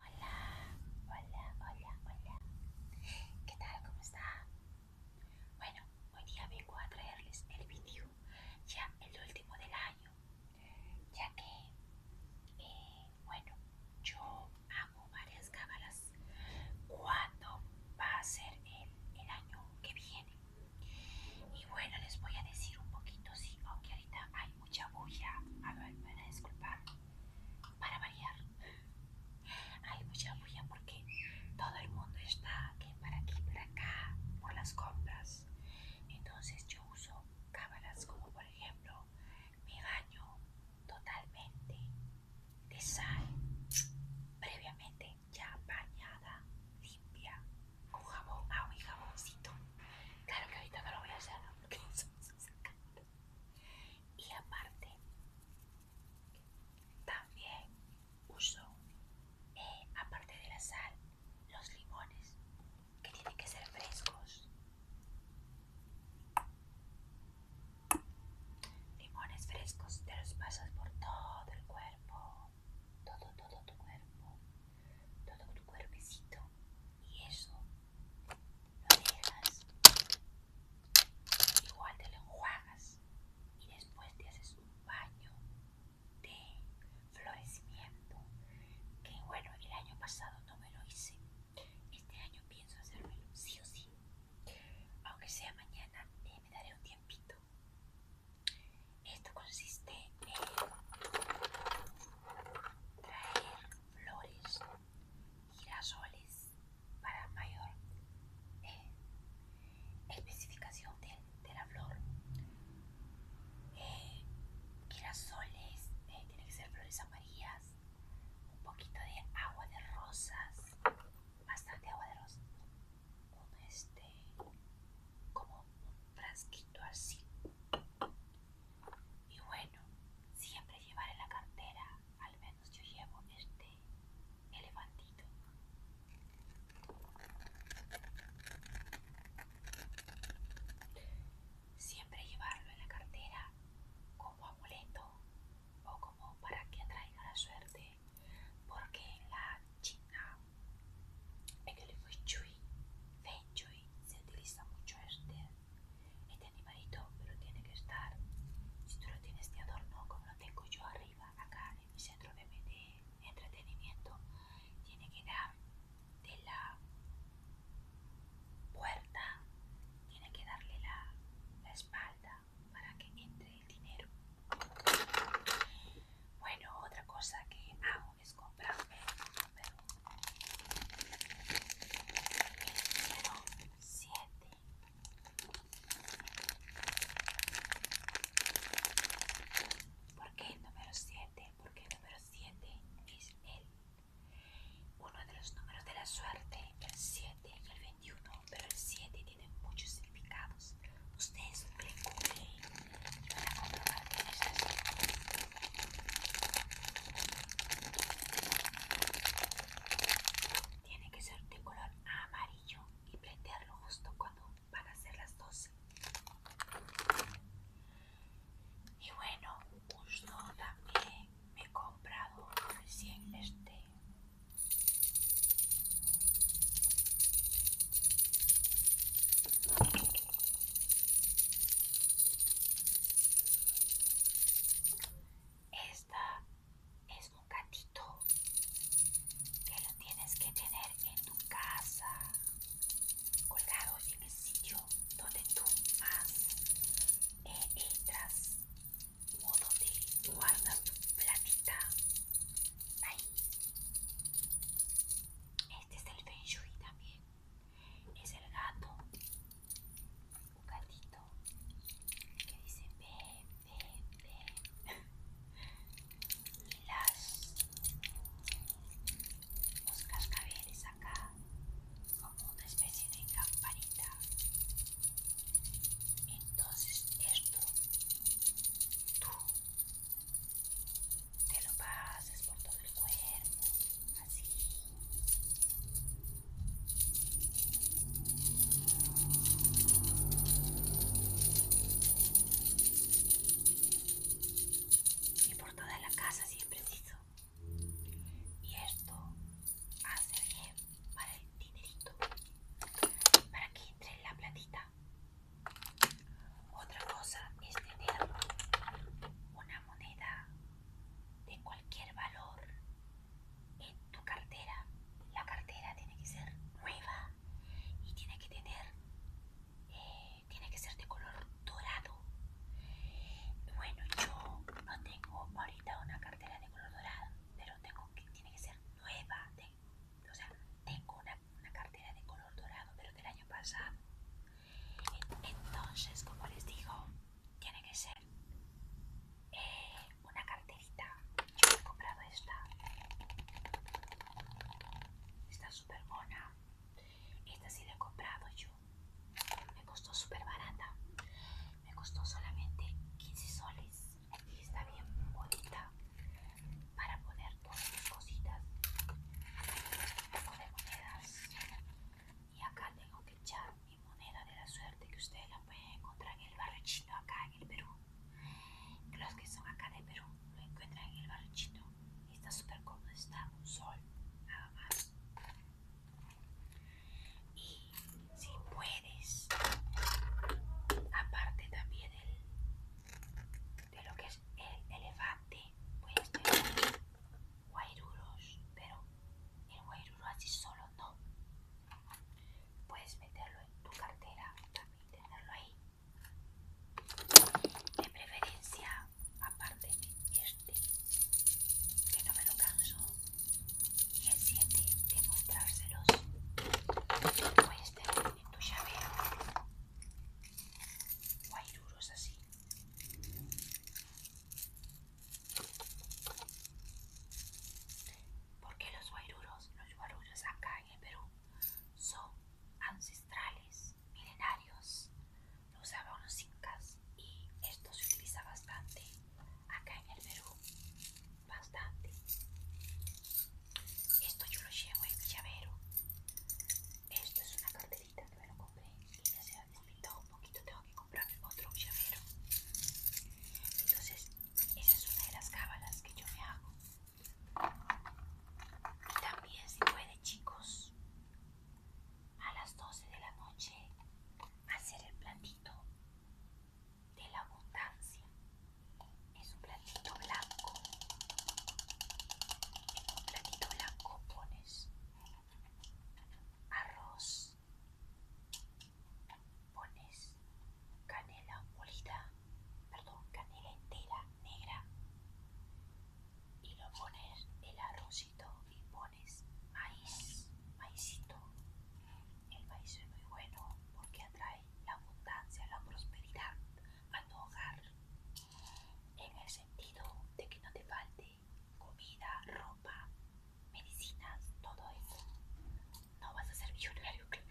Hola, hola, hola, hola. ¿Qué tal? ¿Cómo está? Bueno, hoy día vengo a traerles el video, ya el último del año, ya que, eh, bueno, yo hago varias cámaras. cuando va a ser el, el año que viene. Y bueno, les voy a decir un poquito, sí, aunque ahorita hay mucha bulla. A ver, me a disculpar. Para variar, hay mucha bulla porque todo el mundo está aquí para aquí, para acá, por las compras. Entonces yo uso cámaras como por ejemplo mi baño totalmente desay, previamente ya bañada, limpia, con jabón, ah, un jaboncito. Claro que ahorita no lo voy a hacer porque no y aparte también uso eh, aparte de la sal los limones que tienen que ser frescos limones frescos te los pasas por todo el cuerpo todo todo tu cuerpo todo tu cuerpecito y eso lo dejas, igual te lo enjuagas y después te haces un baño de florecimiento. Que bueno, el año pasado no me lo hice, este año pienso hacérmelo, sí o sí. Aunque sea mañana, eh, me daré un tiempito. Esto consiste en traer flores, girasoles para mayor eh, especificación de, de, la flor. Eh, girasoles, tiene eh, tienen que ser flores amarillas, un poquito de agua de rosas, bastante agua de rosas, este, como un frasquito así y bueno, siempre en la cartera, al menos yo llevo este elefantito. Siempre llevarlo en la cartera como amuleto o como para que traiga la suerte, porque en la China, en el Feng Chui Feng se utiliza mucho este este animalito, pero tiene que estar, si tú lo tienes de adorno, como lo tengo yo arriba, acá en mi centro de, entretenimiento, tiene que dar de la puerta, tiene que darle la, la espalda para que entre el dinero. Bueno, otra cosa que hago es comprarme número 7 ¿Por qué el número 7? Porque el número 7 es el uno de los números de la suerte, el 7 y el 21, pero el 7 tiene muchos significados. Ustedes recuerden tiene que ser de color amarillo y prenderlo justo cuando van a ser las 12. Y bueno, justo también me he comprado recién este. Esta es un gatito que lo tienes que tener en tu casa, colgado en el sitio donde tú más eh, entras modo de guardas tu platita. Ahí. Este es el Feng también es el gato, un gatito que dice ve, ve, ve. Y las, los cascabeles acá, como una especie de campanita. Entonces esto, tú te lo pases por todo el cuerpo, así. Y por toda la casa, siempre es Y esto hace bien para el dinerito, para que entre la platita. Otra cosa es tener una moneda de cualquier valor en tu cartera. La cartera tiene que ser nueva y tiene que tener, eh, tiene que ser de color dorado. Bueno, yo no tengo ahorita una cartera de color dorado, pero tengo que, tiene que ser nueva. o sea, tengo una una, cartera de color dorado, pero del año pasado. Entonces, como les digo, tiene que ser eh, una carterita. Yo he comprado esta. Está súper buena. Esta sí la he comprado yo. Me costó súper barata. Me costó solamente 15 soles. Y está bien bonita para poner todas mis cositas un poco de monedas y acá tengo que echar mi moneda de la suerte que ustedes la pueden encontrar en el barrio acá en el Perú los que son acá de Perú lo encuentran en el barrio chino está súper cómodo, está un sol nada más y si puedes aparte también el, de lo que es el elefante Puedes tener guairuros, pero el guairuro así solo no. Puedes meterlo en tu cartera también tenerlo ahí. De preferencia, aparte de este, que no me lo canso, y el 7 de mostrárselos. Puedes tenerlo en tu llave. Guairuros así. Porque los guairuros, los guaruros acá en el Perú, son ancestrales, milenarios. Los usaban los incas y esto se utiliza bastante acá en el Perú. Bastante. Esto yo lo llevo en mi llavero. Esto es una carterita que me lo compré y ya se ha un poquito. Tengo que comprar otro llavero. Entonces, esa es una de las cábalas que yo me hago. Y también, si puede, chicos, a las 12 de la noche hacer el plantito de la abundancia. Es platito blanco en un platito blanco pones arroz pones canela molida perdón canela entera negra y lo pones el arrocito y pones maíz maicito el maíz es muy bueno porque atrae la abundancia la prosperidad a tu hogar, en el sentido de que no te falte comida, ropa, medicinas, todo eso. No vas a ser millonario, claro,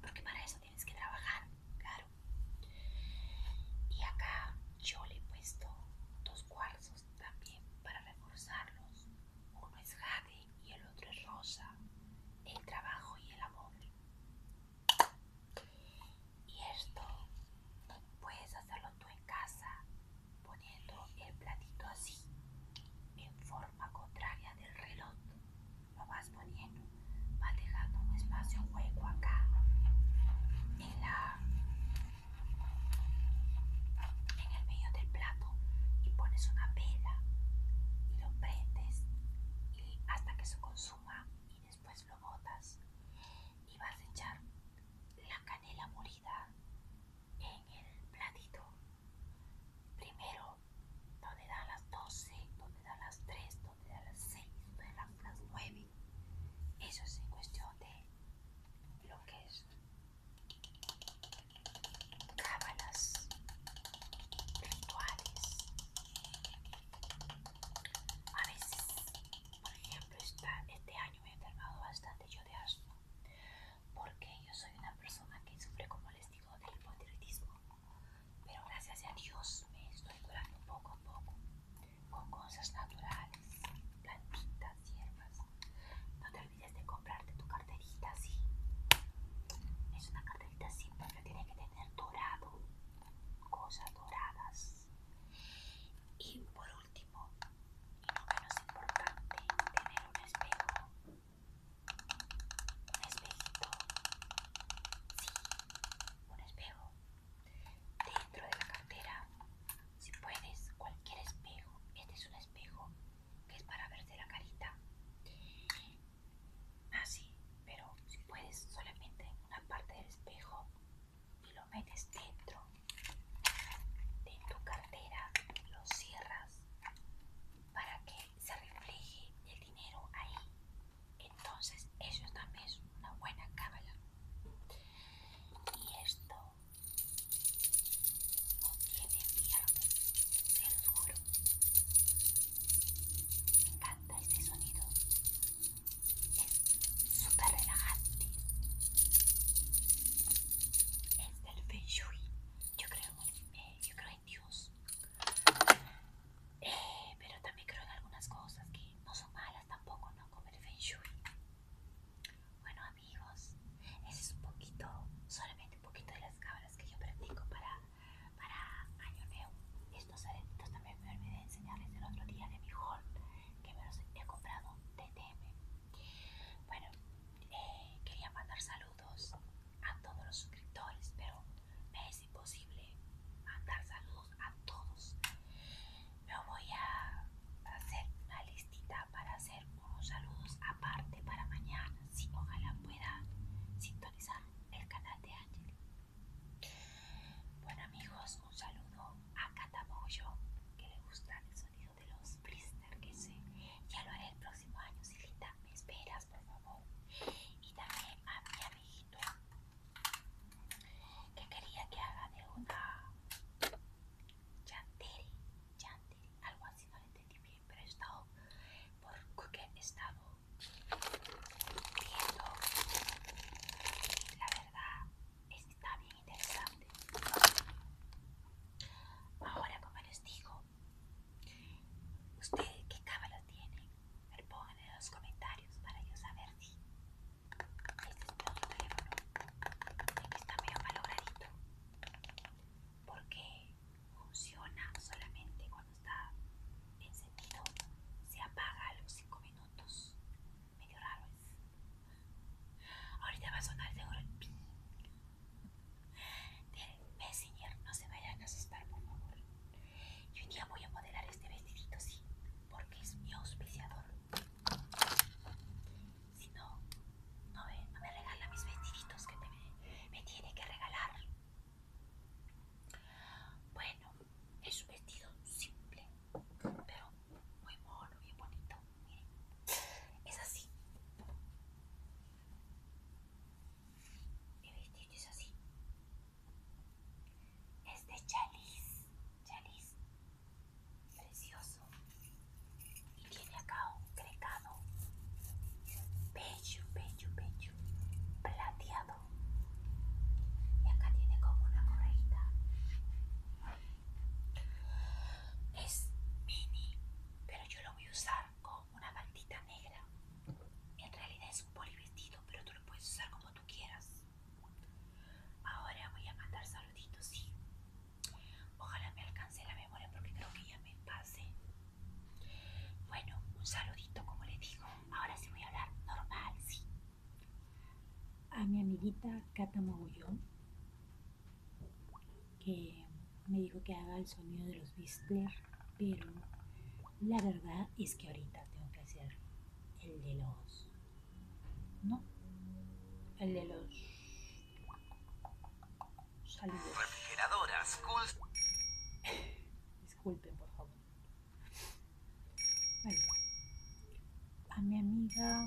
porque para eso tienes que trabajar, claro. Y acá yo le he puesto dos cuarzos también para reforzarlos. Uno es jade y el otro es rosa. El trabajo y el amor. Y esto puedes hacerlo tú en casa poniendo el platito así, en forma contraria del reloj. Lo vas poniendo, vas dejando un espacio hueco acá en el medio del plato y pones una vela y lo prendes y hasta que se consuma después lo botas y vas a echar la canela molida en el platito primero donde da las 12 donde da las 3 donde da las 6 donde da las 9 eso es en cuestión de lo que es cámaras rituales a veces, por ejemplo, este año me he enfermado bastante yo de asma, porque yo soy una persona que sufre, como les digo, de hipotiroidismo, pero gracias a Dios me estoy curando poco a poco con cosas naturales, plantitas, hierbas. No te olvides de comprarte tu carterita, sí. Es una carterita simple porque tiene que tener dorado cosas doradas. Y por último, y no menos importante, tener un espejo. Un espejito. Sí, un espejo. Dentro de la cartera, si puedes, cualquier espejo. Este es un espejo que es para verse la carita. Así, pero si puedes solamente en una parte del espejo y lo metes dentro de tu cartera, lo cierras para que se refleje el dinero ahí. Entonces eso también es una buena cábala. Y esto no tiene piernas, se me encanta este sonido. Es súper relajante. Es del Feng Yo creo, eh, yo creo en Dios. Eh, pero también creo en algunas cosas que no son malas tampoco, ¿no? Como el Feng Bueno amigos, ese es un poquito, solamente un poquito de las cámaras que yo practico para para Año Nuevo. Estos aretitos también me olvidé enseñarles el otro día de mi haul que me los he comprado de TM. Bueno, eh, quería mandar saludos a todos los suscriptores, pero me es imposible mandar saludos a todos. Me voy a hacer una listita para hacer unos saludos aparte para mañana. Si ojalá pueda sintonizar el canal de Ángel bueno amigos, un saludo a Catamoyo, que le gusta el sonido de los blister que sé. Ya lo haré el próximo año, Silita. Me esperas, por favor. Y también a mi amiguito que quería que haga de una Chantilly, Chantilly, algo así, no lo entendí bien, pero he estado, porque he estado entiendo. La verdad está bien interesante. Ahora, como les digo, ustedes qué cabalos tienen, Me pongan en los comentarios para yo saber si. Este es mi teléfono. El que está medio malogradito. Porque funciona solamente cuando está encendido, se apaga a los 5 minutos. Medio raro es. ¿eh? Ahorita va a sonar de el señor No se vayan a asustar, por favor. Y un día voy a modelar este vestidito, sí, porque es mi auspiciador. Si no, no me, regala mis vestiditos que te, me tiene que regalar. Bueno, es un vestido simple, pero muy mono, bien bonito. Miren, es así. Mi vestido es así. Es de chaliz, chaliz, precioso. Y tiene acá un crecado. Pecho, pecho, pecho, plateado. Y acá tiene como una correita. Es mini, pero yo lo voy a usar con una bandita negra. En realidad es un polivestido, pero tú lo puedes usar como tú quieras. Ahora voy a mandar saluditos, y Ojalá me alcance la memoria porque creo que ya me pasé. Bueno, un saludito como le digo. Ahora sí voy a hablar normal, sí. A mi amiguita Cata que me dijo que haga el sonido de los bister, pero la verdad es que ahorita tengo que hacer el de los... ¿No? El de los... Saludos. Refrigeradoras, disculpen por favor. a mi amiga,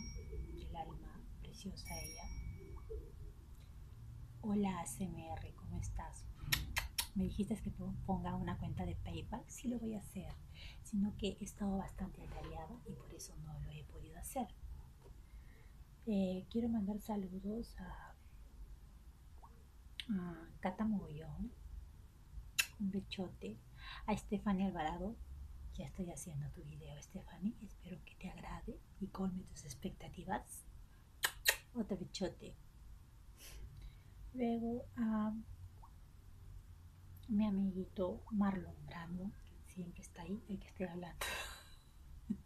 el alma preciosa ella. Hola ACMR, ¿cómo estás? Me dijiste que ponga una cuenta de PayPal, sí lo voy a hacer, sino que he estado bastante atareada y por eso no lo he podido hacer. Eh, quiero mandar saludos a a mm, Cata un bichote, a Stephanie Alvarado. Ya estoy haciendo tu video, Stephanie Espero que te agrade y colme tus expectativas. Otro bichote, Luego a mi amiguito Marlon Brando, que siempre está ahí, el que estoy hablando.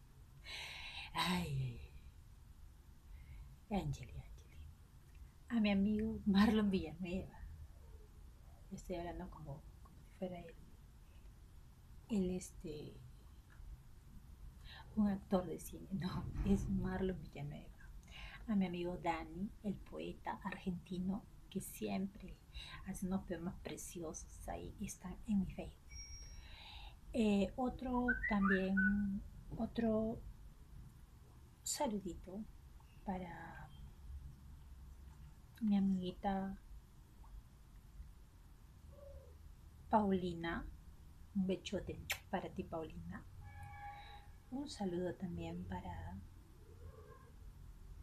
Ay, Angeli, Angeli. A mi amigo Marlon Villanueva. estoy hablando como, si fuera él. Él, este. Un actor de cine, no, es Marlon Villanueva. A mi amigo Dani, el poeta argentino, que siempre hace unos poemas preciosos ahí, están en mi Facebook. Eh, otro también, otro saludito para mi amiguita Paulina. Un bechote para ti, Paulina. Un saludo también para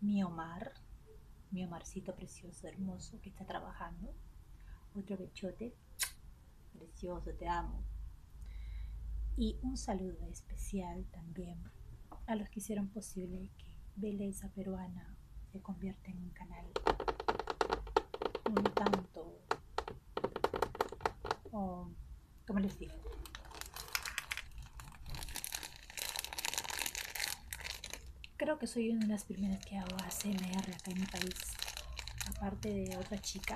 mi Omar, mi Omarcito precioso, hermoso, que está trabajando. Otro bechote precioso, te amo. Y un saludo especial también a los que hicieron posible que Belleza Peruana se convierta en un canal un tanto, o, como les digo, creo que soy una de las primeras que hago ASMR acá en mi país, aparte de otra chica,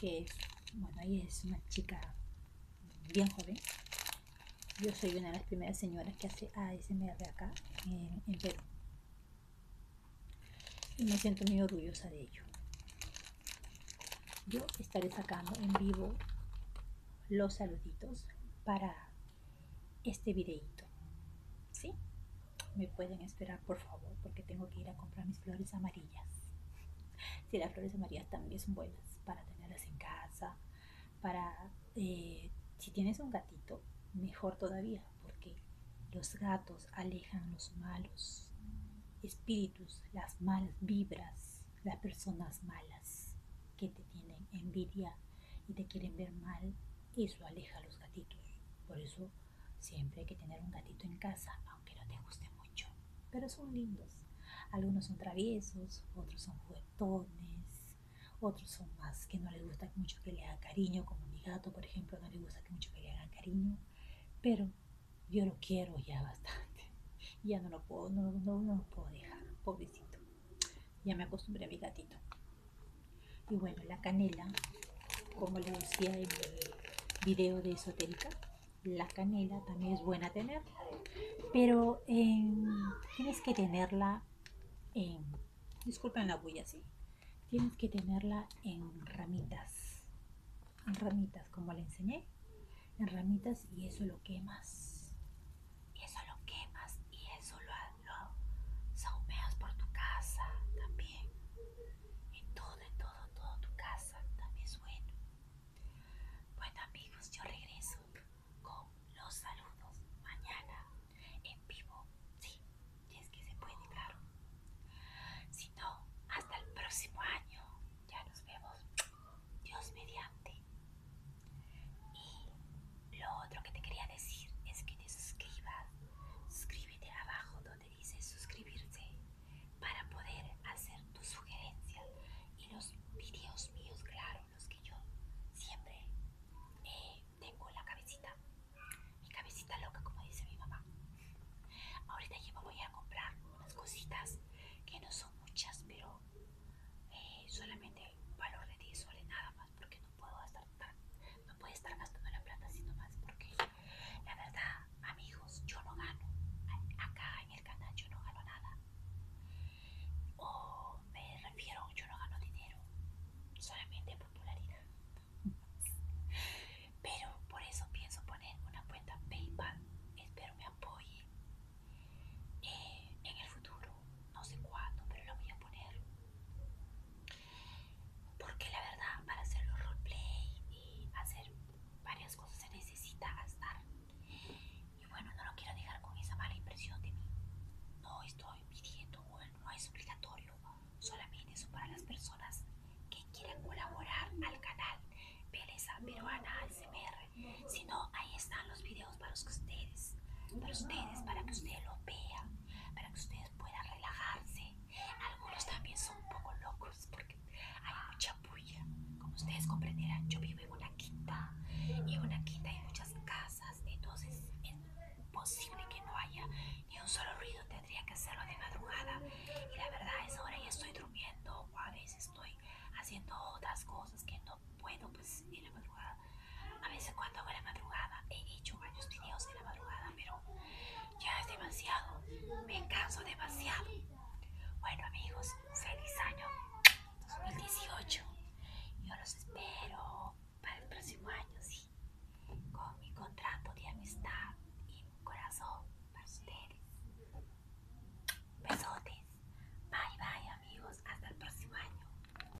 que es, bueno, ahí es una chica bien joven. Yo soy una de las primeras señoras que hace ASMR acá en Perú. Y me siento muy orgullosa de ello. Yo estaré sacando en vivo los saluditos para este videito. ¿Sí? Me pueden esperar, por favor, porque tengo que ir a comprar mis flores amarillas. Si las flores amarillas también son buenas para tenerlas en casa, para... Eh, si tienes un gatito, mejor todavía, porque los gatos alejan los malos espíritus, las malas vibras, las personas malas que te tienen envidia y te quieren ver mal, y eso aleja a los gatitos. Por eso siempre hay que tener un gatito en casa, aunque no te guste mucho. Pero son lindos. Algunos son traviesos, otros son juguetones, otros son más que no les gusta mucho que le haga cariño, como mi gato, por ejemplo, no le gusta mucho que le haga cariño. Pero yo lo quiero ya bastante. Ya no no, no, no lo puedo dejar, pobrecito. Ya me acostumbré a mi gatito. Y bueno, la canela, como le decía en el video de esotérica, la canela también es buena tener, pero em, tienes que tenerla en, disculpen la bulla, sí, tienes que tenerla en ramitas, en ramitas, como le enseñé, en ramitas y eso lo quemas, y eso lo quemas y eso lo son saumeas por tu casa también. En todo, en todo, en todo tu casa también es bueno. Bueno amigos, yo regreso con los saludos mañana en vivo. Sí, es que se puede, claro. Si no, hasta el próximo año. Ya nos vemos. Dios mediante. Y lo otro que te quería decir es que te suscribas. Suscríbete abajo donde dice suscribirse para poder hacer tus sugerencias y los videos míos, claro, los que yo siempre eh, tengo la cabecita. Mi cabecita loca, como dice mi mamá. Ahorita yo me voy a comprar unas cositas que no son muchas, pero eh, solamente valor de 10 nada más porque no puedo estar no estar gastando la plata así nomás porque la verdad amigos yo no gano acá en el canal yo no gano nada o me refiero yo no gano dinero solamente popularidad pero por eso pienso poner una cuenta paypal espero me apoye eh, en el futuro no sé cuándo, pero lo voy a poner. Porque la verdad, para hacer los roleplay y hacer varias cosas se necesita gastar. Y bueno, no lo quiero dejar con esa mala impresión de mí. No estoy pidiendo, no es obligatorio, solamente eso para las personas que quieran colaborar al canal Belleza Peruana ASMR. Si no, ahí están los videos para ustedes, para ustedes, para que ustedes lo vean para que ustedes puedan relajarse. Algunos también son un poco locos porque hay mucha bulla. Como ustedes comprenderán, yo vivo en una quinta y en una quinta hay muchas casas, entonces es imposible que no haya ni un solo ruido. Tendría que hacerlo de madrugada y la verdad es ahora ya estoy durmiendo o a veces estoy haciendo otras cosas que no puedo pues en la madrugada a veces cuando hago la madrugada, he hecho varios videos de la madrugada, pero ya es demasiado, me canso demasiado. Bueno amigos, feliz año 2018. Yo los espero para el próximo año, sí, con mi contrato de amistad y mi corazón para ustedes. Besotes. Bye bye amigos, hasta el próximo año.